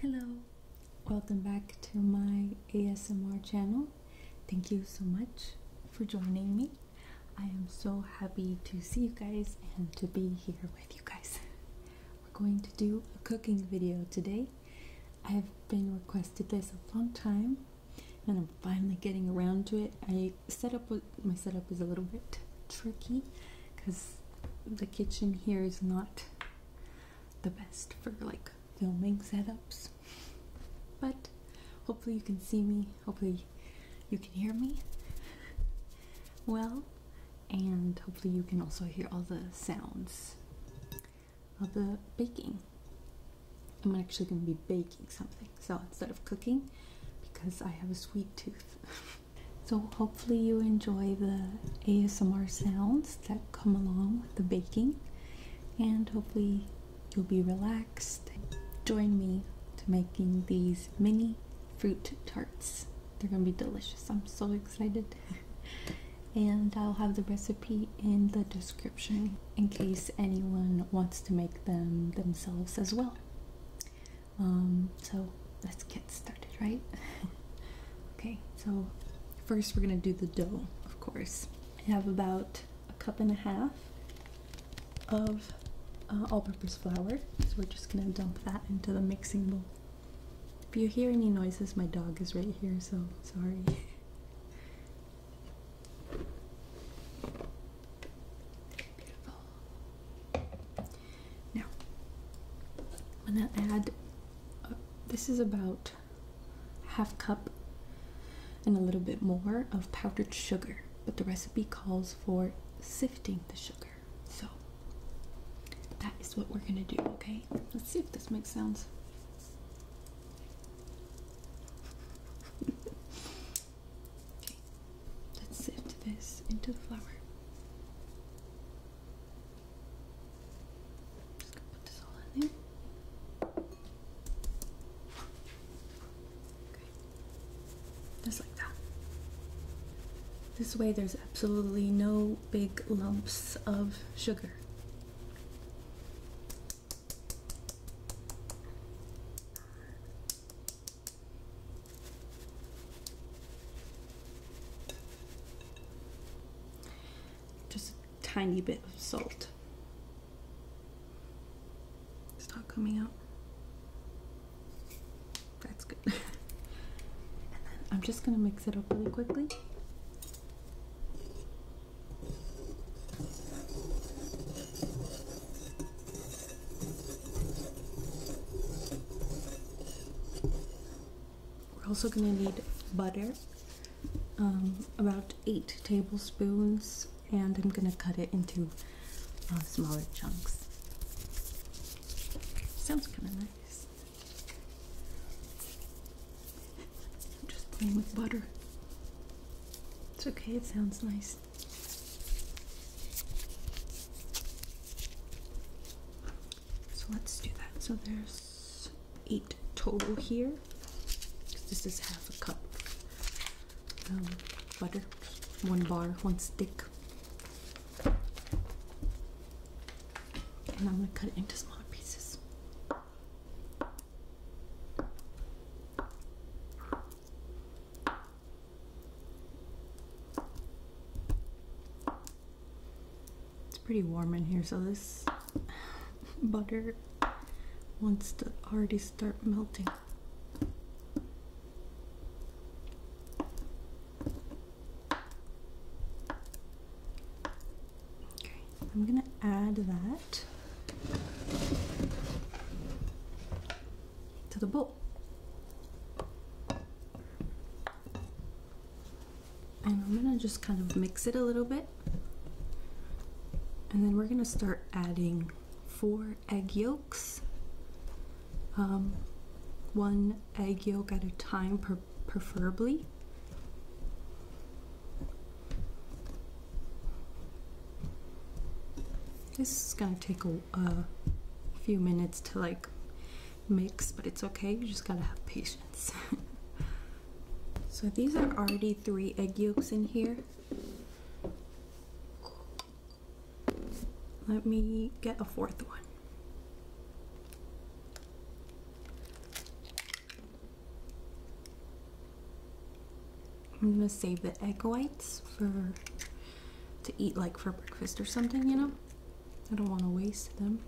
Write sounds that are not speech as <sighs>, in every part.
Hello, welcome back to my ASMR channel. Thank you so much for joining me. I am so happy to see you guys and to be here with you guys. We're going to do a cooking video today. I've been requested this a long time and I'm finally getting around to it. my setup is a little bit tricky because the kitchen here is not the best for like filming setups. But hopefully, you can see me, hopefully, you can hear me well, and hopefully, you can also hear all the sounds of the baking. I'm actually going to be baking something, so instead of cooking, because I have a sweet tooth. <laughs> So, hopefully, you enjoy the ASMR sounds that come along with the baking, and hopefully, you'll be relaxed. Join me to making these mini fruit tarts. They're gonna be delicious. I'm so excited. <laughs> and I'll have the recipe in the description in case anyone wants to make them themselves as well. Um, so let's get started, right? <laughs> okay, so first we're gonna do the dough, of course. I have about a cup and a half of uh, all-purpose flour, so we're just gonna dump that into the mixing bowl. If you hear any noises, my dog is right here, so sorry. <laughs> Beautiful. Now, I'm gonna add. Uh, this is about half cup and a little bit more of powdered sugar, but the recipe calls for sifting the sugar. So that is what we're gonna do. Okay, let's see if this makes sense. <laughs> okay, let's sift this into the flour. Just gonna put this all in there. Okay. Just like that. This way there's absolutely no big lumps of sugar. Just a tiny bit of salt. It's not coming out. That's good. <laughs> I'm just gonna mix it up really quickly. We're also going to need butter, um, about eight tablespoons, and I'm going to cut it into uh, smaller chunks. Sounds kind of nice. just playing with butter. It's okay, it sounds nice. So let's do that. So there's eight total here. This is half a cup um, butter, one bar, one stick. And I'm going to cut it into smaller pieces. It's pretty warm in here, so this <sighs> butter wants to already start melting. Okay, I'm gonna add that to the bowl and I'm gonna just kind of mix it a little bit and then we're gonna start adding four egg yolks um, one egg yolk at a time preferably this is gonna take a few minutes to like mix, but it's okay. You just gotta have patience. <laughs> so these are already three egg yolks in here. Let me get a fourth one. I'm gonna save the egg whites for to eat like for breakfast or something, you know? I don't want to waste them.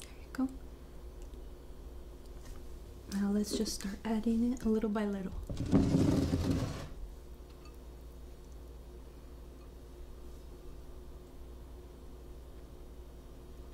There you go. Now let's just start adding it a little by little.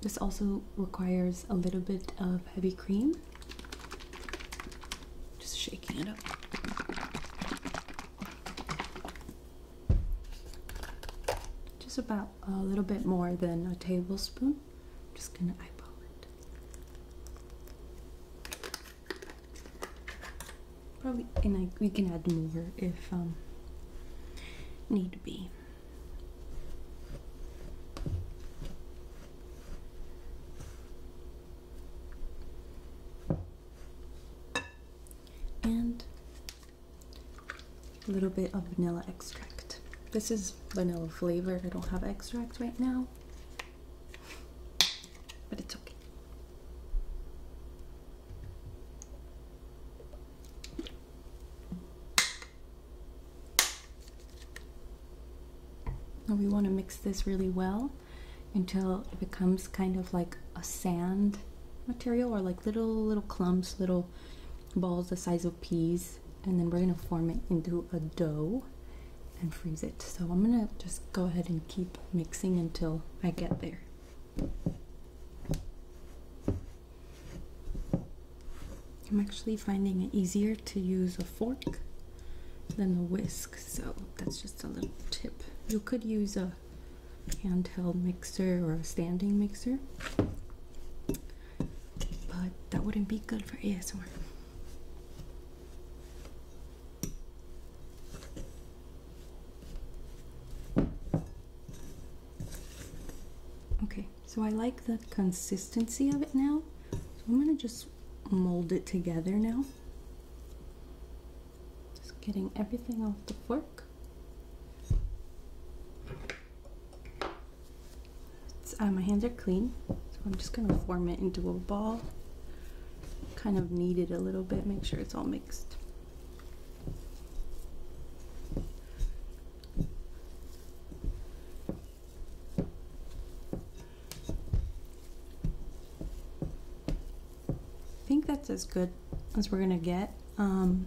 This also requires a little bit of heavy cream. Just shaking it up. Just about a little bit more than a tablespoon. just gonna eyeball it. Probably, and we can add more if um, need be. And a little bit of vanilla extract. This is vanilla flavored. I don't have extract right now, but it's okay. Now we want to mix this really well until it becomes kind of like a sand material or like little little clumps, little balls the size of peas and then we're gonna form it into a dough and freeze it. So I'm gonna just go ahead and keep mixing until I get there. I'm actually finding it easier to use a fork than a whisk, so that's just a little tip. You could use a handheld mixer or a standing mixer but that wouldn't be good for ASMR. Okay, so I like the consistency of it now. I'm gonna just mold it together now. Just getting everything off the fork. Uh, my hands are clean, so I'm just gonna form it into a ball. Kind of knead it a little bit, make sure it's all mixed. I think that's as good as we're gonna get because um,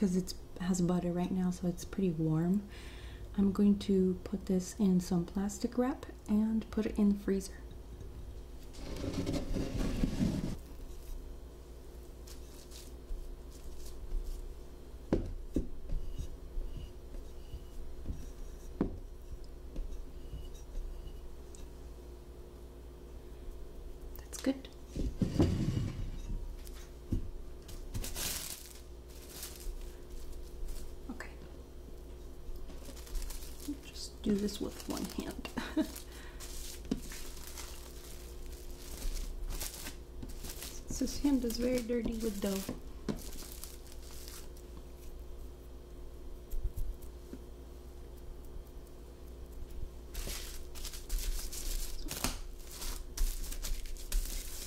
it has butter right now so it's pretty warm I'm going to put this in some plastic wrap and put it in the freezer That's good. Okay. Just do this with one hand. <laughs> this hand is very dirty with dough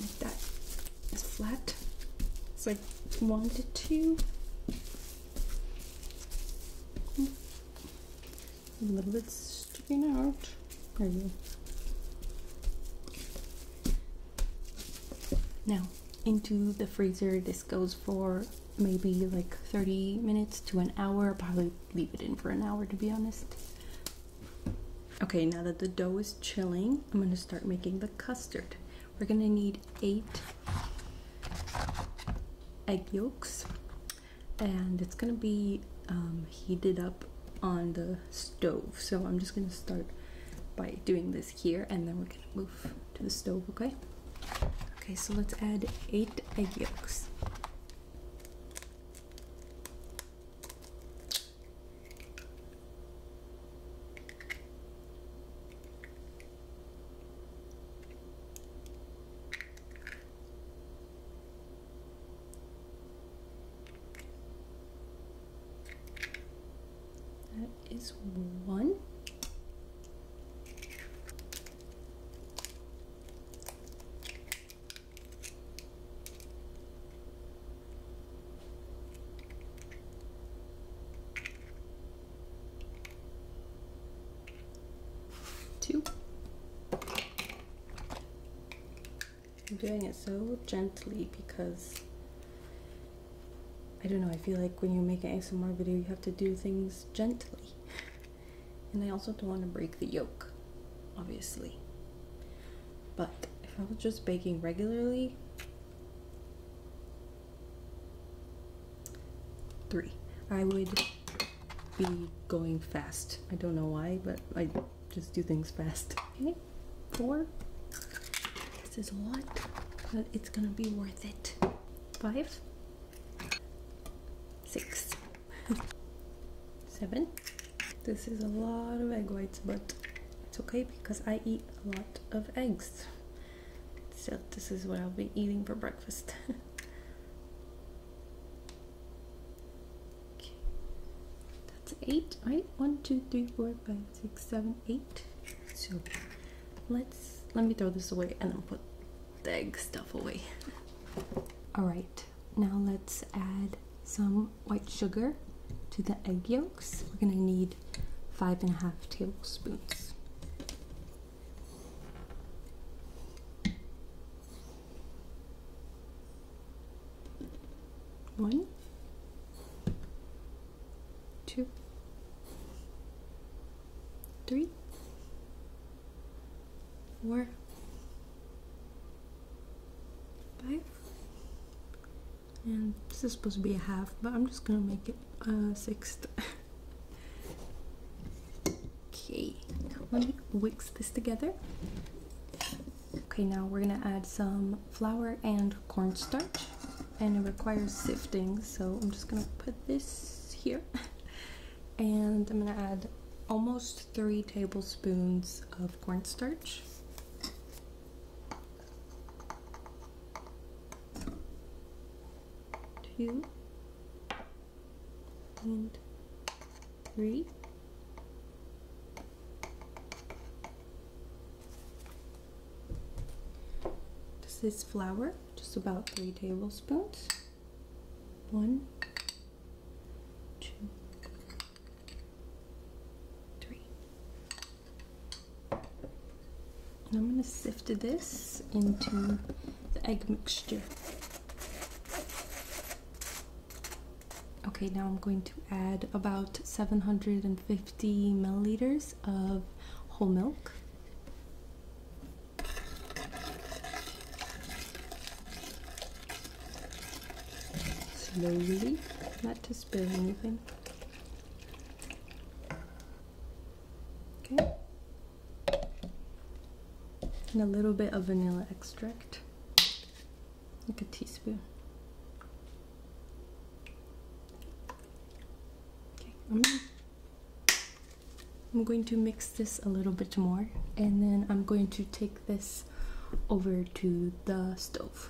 like that is flat. It's like one to two. A little bit sticking out. There we go. Now, into the freezer. This goes for maybe like 30 minutes to an hour. probably leave it in for an hour to be honest. Okay, now that the dough is chilling, I'm gonna start making the custard. We're gonna need eight egg yolks and it's gonna be um, heated up on the stove. So I'm just gonna start by doing this here and then we're gonna move to the stove, okay? Okay, so let's add eight egg yolks. That is one. Two. I'm doing it so gently because I don't know, I feel like when you make an ASMR video, you have to do things gently. <laughs> And I also don't want to break the yolk, obviously. But if I was just baking regularly, three. I would be going fast. I don't know why, but I just do things fast. Okay, four. This is a lot, but it's gonna be worth it. Five, six, <laughs> seven. This is a lot of egg whites, but it's okay because I eat a lot of eggs. So this is what I'll be eating for breakfast. <laughs> okay. That's eight, right? One, two, three, four, five, six, seven, eight. So let's let me throw this away and then put the egg stuff away. <laughs> All right, now let's add some white sugar to the egg yolks. We're gonna need five and a half tablespoons. One, two, three, four, five, and this is supposed to be a half but I'm just gonna make it a sixth okay now let me mix this together okay now we're gonna add some flour and cornstarch and it requires sifting so I'm just gonna put this here and I'm gonna add almost three tablespoons of cornstarch two and three this is flour just about three tablespoons one two three. And I'm gonna sift this into the egg mixture. Okay, now I'm going to add about 750 milliliters of whole milk slowly, not to spill anything. Okay. And a little bit of vanilla extract, like a teaspoon. Okay, I'm, I'm going to mix this a little bit more and then I'm going to take this over to the stove.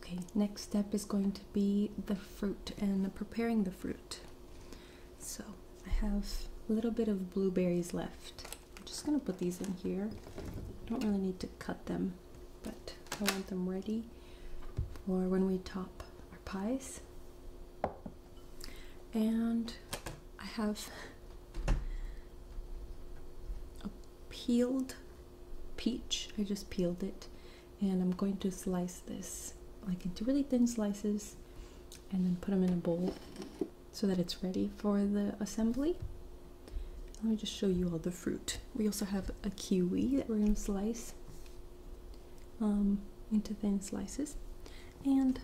Okay, next step is going to be the fruit and preparing the fruit. So I have a little bit of blueberries left. I'm just gonna put these in here. I don't really need to cut them, but I want them ready for when we top our pies. And I have a peeled peach. I just peeled it and I'm going to slice this like into really thin slices and then put them in a bowl so that it's ready for the assembly. Let me just show you all the fruit. We also have a kiwi that we're going to slice um, into thin slices and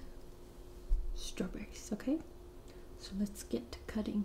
strawberries, okay? So let's get to cutting.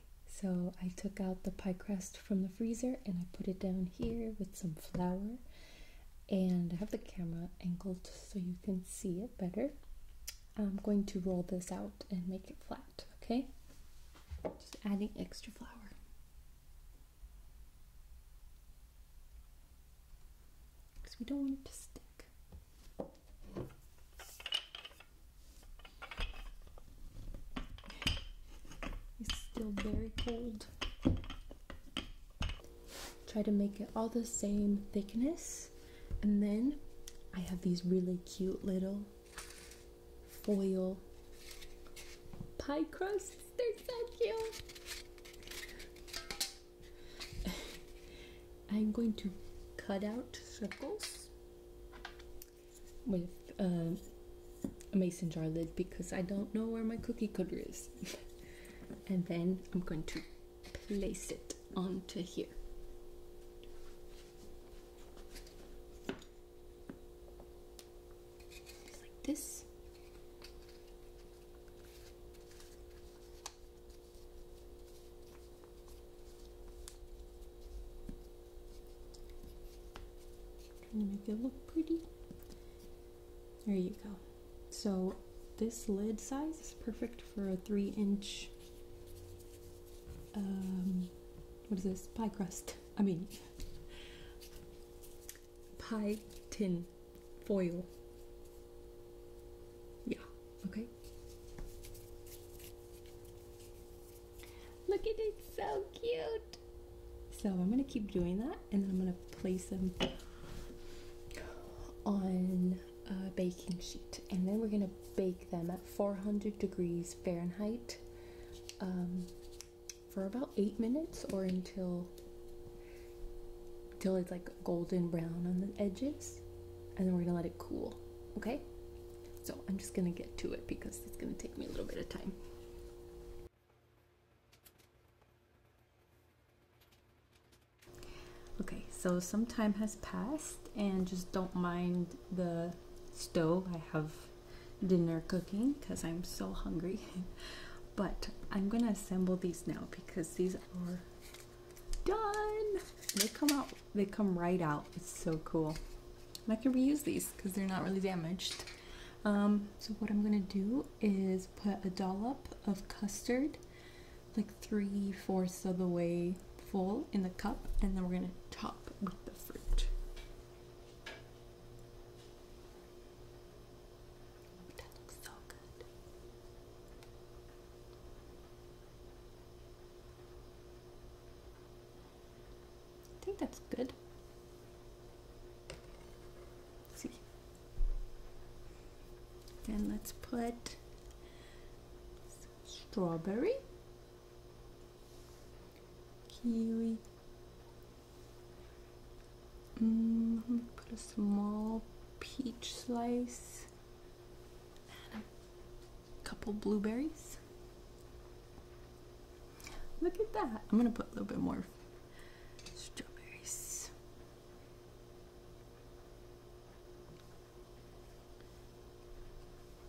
so I took out the pie crust from the freezer and I put it down here with some flour. And I have the camera angled so you can see it better. I'm going to roll this out and make it flat, okay? Just adding extra flour. Because we don't want it to stick. It's still very cold. Try to make it all the same thickness. And then I have these really cute little foil pie crusts. They're so cute. <laughs> I'm going to cut out circles with a um, mason jar lid because I don't know where my cookie cutter is. <laughs> and then I'm going to place it onto here. like this. Trying to make it look pretty. There you go. So this lid size is perfect for a three inch, um, what is this, pie crust, <laughs> I mean, pie tin foil. Yeah, okay. Look at it, so cute. So I'm gonna keep doing that and then I'm gonna place them on a baking sheet and then we're gonna bake them at 400 degrees Fahrenheit um, for about eight minutes or until until it's like golden brown on the edges and then we're gonna let it cool okay so I'm just gonna get to it because it's gonna take me a little bit of time Okay, so some time has passed and just don't mind the stove. I have dinner cooking because I'm so hungry. <laughs> but I'm gonna assemble these now because these are done. They come out, they come right out. It's so cool. I can reuse these because they're not really damaged. Um, so what I'm gonna do is put a dollop of custard, like three fourths of the way full in the cup, and then we're gonna top with the fruit. that looks so good. I think that's good. see. Then let's put strawberry, kiwi. Mm, I'm put a small peach slice and a couple blueberries. Look at that. I'm going to put a little bit more strawberries.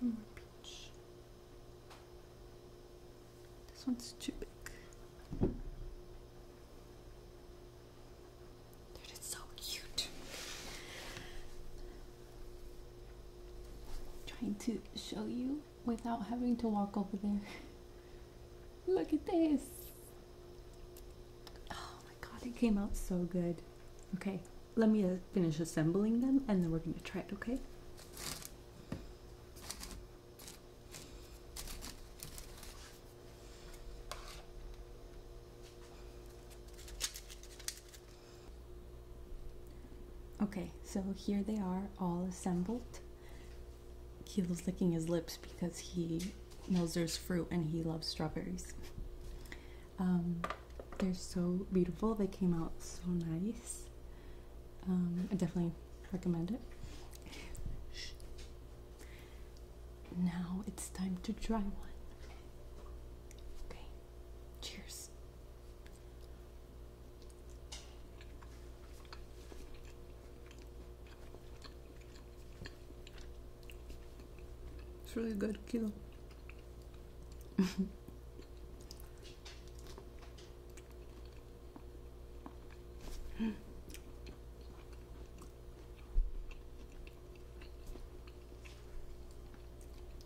More peach. This one's too big. Dude, it's so cute. trying to show you without having to walk over there. <laughs> Look at this. Oh my god, it came out so good. Okay, let me uh, finish assembling them and then we're going to try it, okay? Okay, so here they are all assembled. Kilo's licking his lips because he knows there's fruit and he loves strawberries. Um, they're so beautiful. They came out so nice. Um, I definitely recommend it. Now it's time to try one. Okay. Cheers. It's really good kilo. <laughs>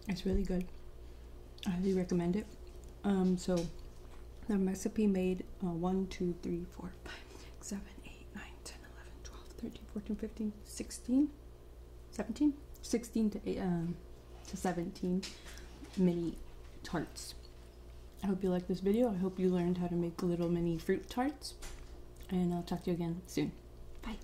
it's really good. I highly recommend it. Um, so the recipe made uh, 1, 2, 3, 4, 5, 7, 8, 9, 10, 11, 12, 13, 14, 15, 16, 17, 16 to, um, to 17 mini tarts. I hope you liked this video. I hope you learned how to make little mini fruit tarts. And I'll talk to you again soon. Bye.